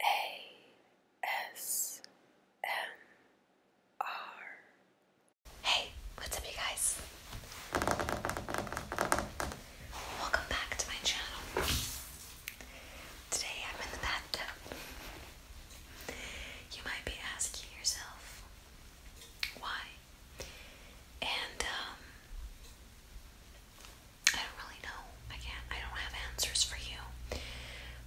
ASMR. Hey, what's up, you guys? Welcome back to my channel. Today I'm in the bathtub. You might be asking yourself why, and um, I don't really know. I can't, I don't have answers for you.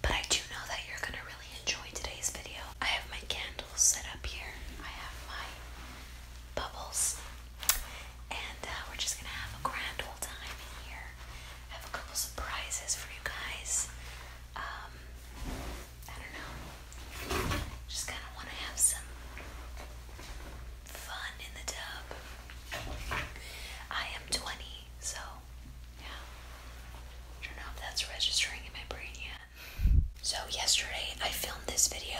But I do know that you're gonna really enjoy today's video. I have my candles set up here, I have my bubbles, and uh, we're just gonna have a grand old time in here. I have a couple surprises for you guys. Um, I don't know. Just kind of want to have some fun in the tub. I am 20, so yeah. don't know if that's registering in my brain yet. So, yesterday I filmed this video,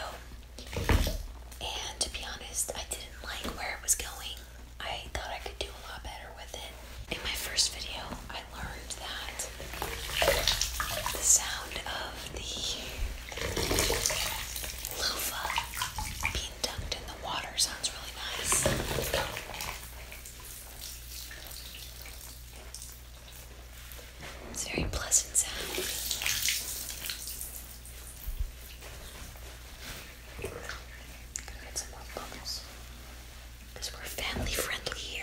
and to be honest, I didn't like where it was going. I thought I could do a lot better with it. In my first video, I learned that the sound of the loofah being in the water sounds really nice. It's a very pleasant sound. Gonna get some more bubbles. Because we're family friendly here.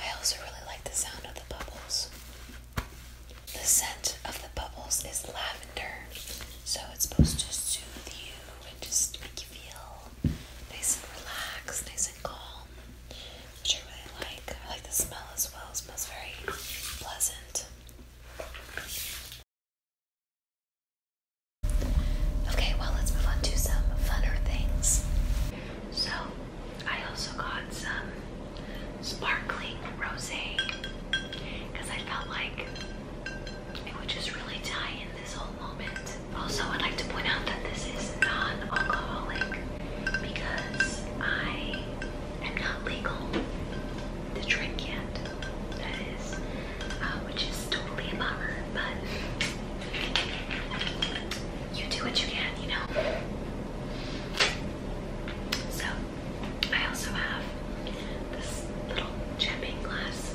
I also really like the sound of the bubbles. The scent of the bubbles is lavender, so it's supposed to soothe you and just make you feel nice and relaxed, nice and calm, which I really like. I like the smell as well, smells very pleasant. Okay, well, let's move on to some funner things. So, I also got some sparkling rose because I felt like it would just really tie in this whole moment. Also, I'd like to point out that this is non-alcoholic because I am not legal to drink yet. That is, uh, which is totally a bummer, but you do what you can, you know. So, I also have this little champagne glass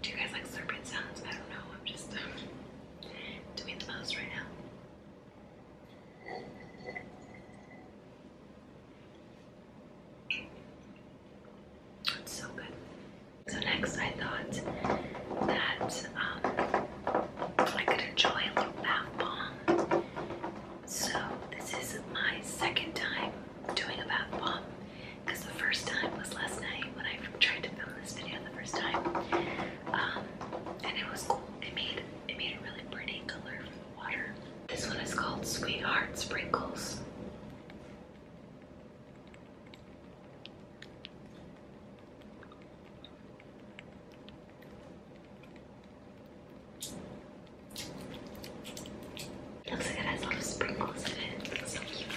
Do you guys like serpent sounds? I don't know. I'm just um, doing the most right now. It's so good. So next, I thought that um, I could enjoy a little bath bomb so this is my second time doing a bath bomb because the first time was last night when I tried to film this video the first time. Um, and it was cool. It made it made a really pretty color from the water. This one is called Sweetheart Sprinkles. It looks like it has a lot of sprinkles in it. so cute.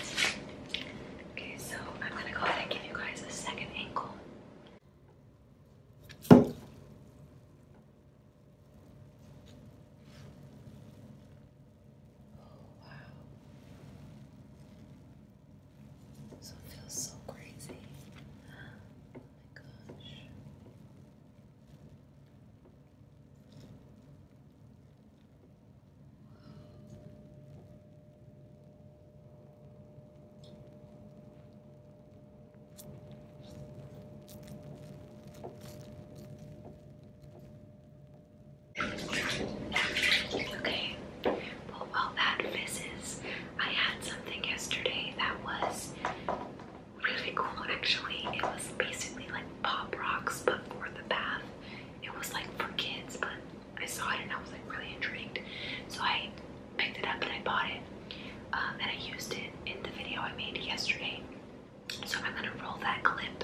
Okay, so I'm gonna go ahead and give you guys a second angle. Oh wow. So it feels so crazy. Oh my gosh. Okay, well, while that fizzes, I had something yesterday that was really cool actually. It was basically like pop rocks but for the bath. It was like for kids, but I saw it and I was like really intrigued. So I picked it up and I bought it. Um, and I used it in the video I made yesterday. So I'm gonna roll that clip.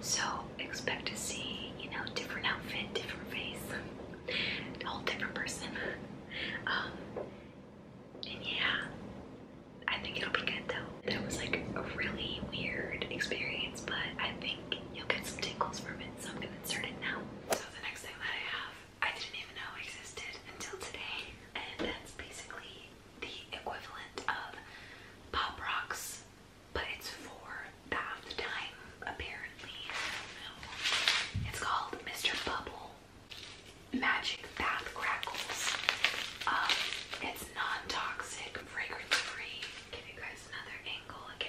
So expect to see, you know, different outfit, different face, whole different person. Um, and yeah, I think it'll be good though. That was like a really weird experience, but I think you'll get some tingles from it, so I'm gonna insert it now. So the next thing that I have, I didn't even know existed until today, and that's basically the equivalent of Pop Rocks, but it's for half time apparently. It's called Mr. Bubble Magic Bath Crackles. Um, it's non-toxic, fragrance-free. Give you guys another angle again.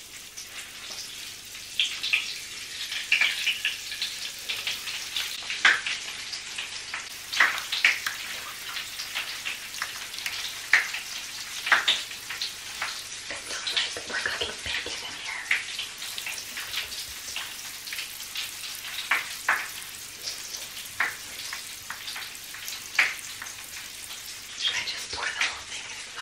like we're cooking bacon in here. Should I just pour the whole thing in?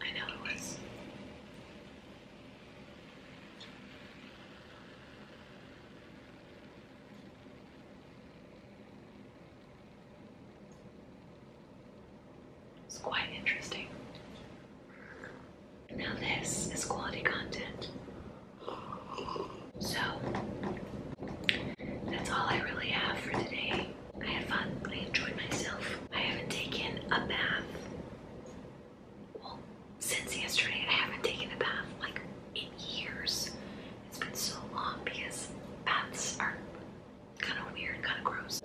I know it was. It's quite interesting. Now, this is quality content. So that's all I really have for today. I had fun. I enjoyed myself. I haven't taken a bath. Well, since yesterday, I haven't taken a bath like in years. It's been so long because baths are kind of weird, kind of gross.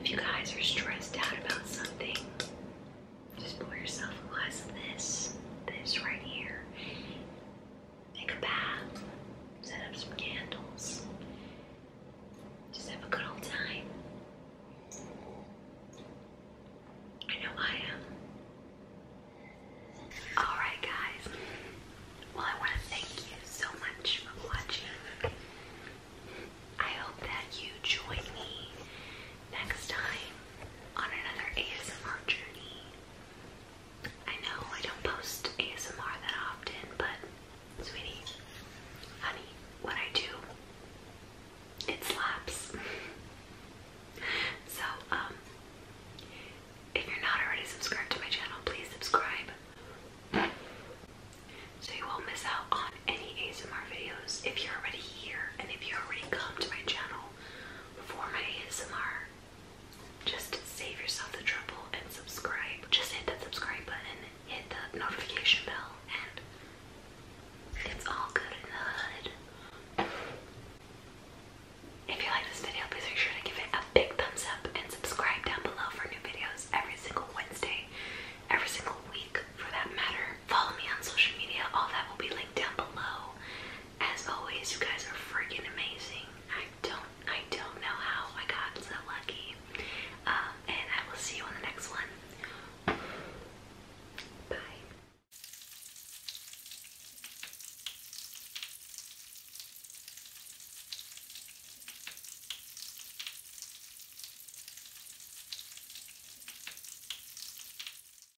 If you guys are stressed out about something, just pour yourself a glass of this, this right here, take a bath, set up some candles, just have a good old time. I know I am. Alright, guys. Well, I want to thank you so much for watching. I hope that you join me next time on another ASMR journey. I know I don't post ASMR that often, but sweetie, honey, when I do, it slaps. so, um, if you're not already subscribed to my channel, please subscribe so you won't miss out on any ASMR videos. If you're already here and if you already come to my channel for my ASMR, just save yourself the trouble and subscribe. Just hit that subscribe button, hit the notification bell, and it's all good in the hood. If you like this video, please make sure to give it a big thumbs up and subscribe down below for new videos every single Wednesday, every single week for that matter. Follow me on social media, all that will be linked down below. As always, you guys are freaking amazing. I don't, I don't know how I got so lucky. Um, and I will see you on the next one. Bye.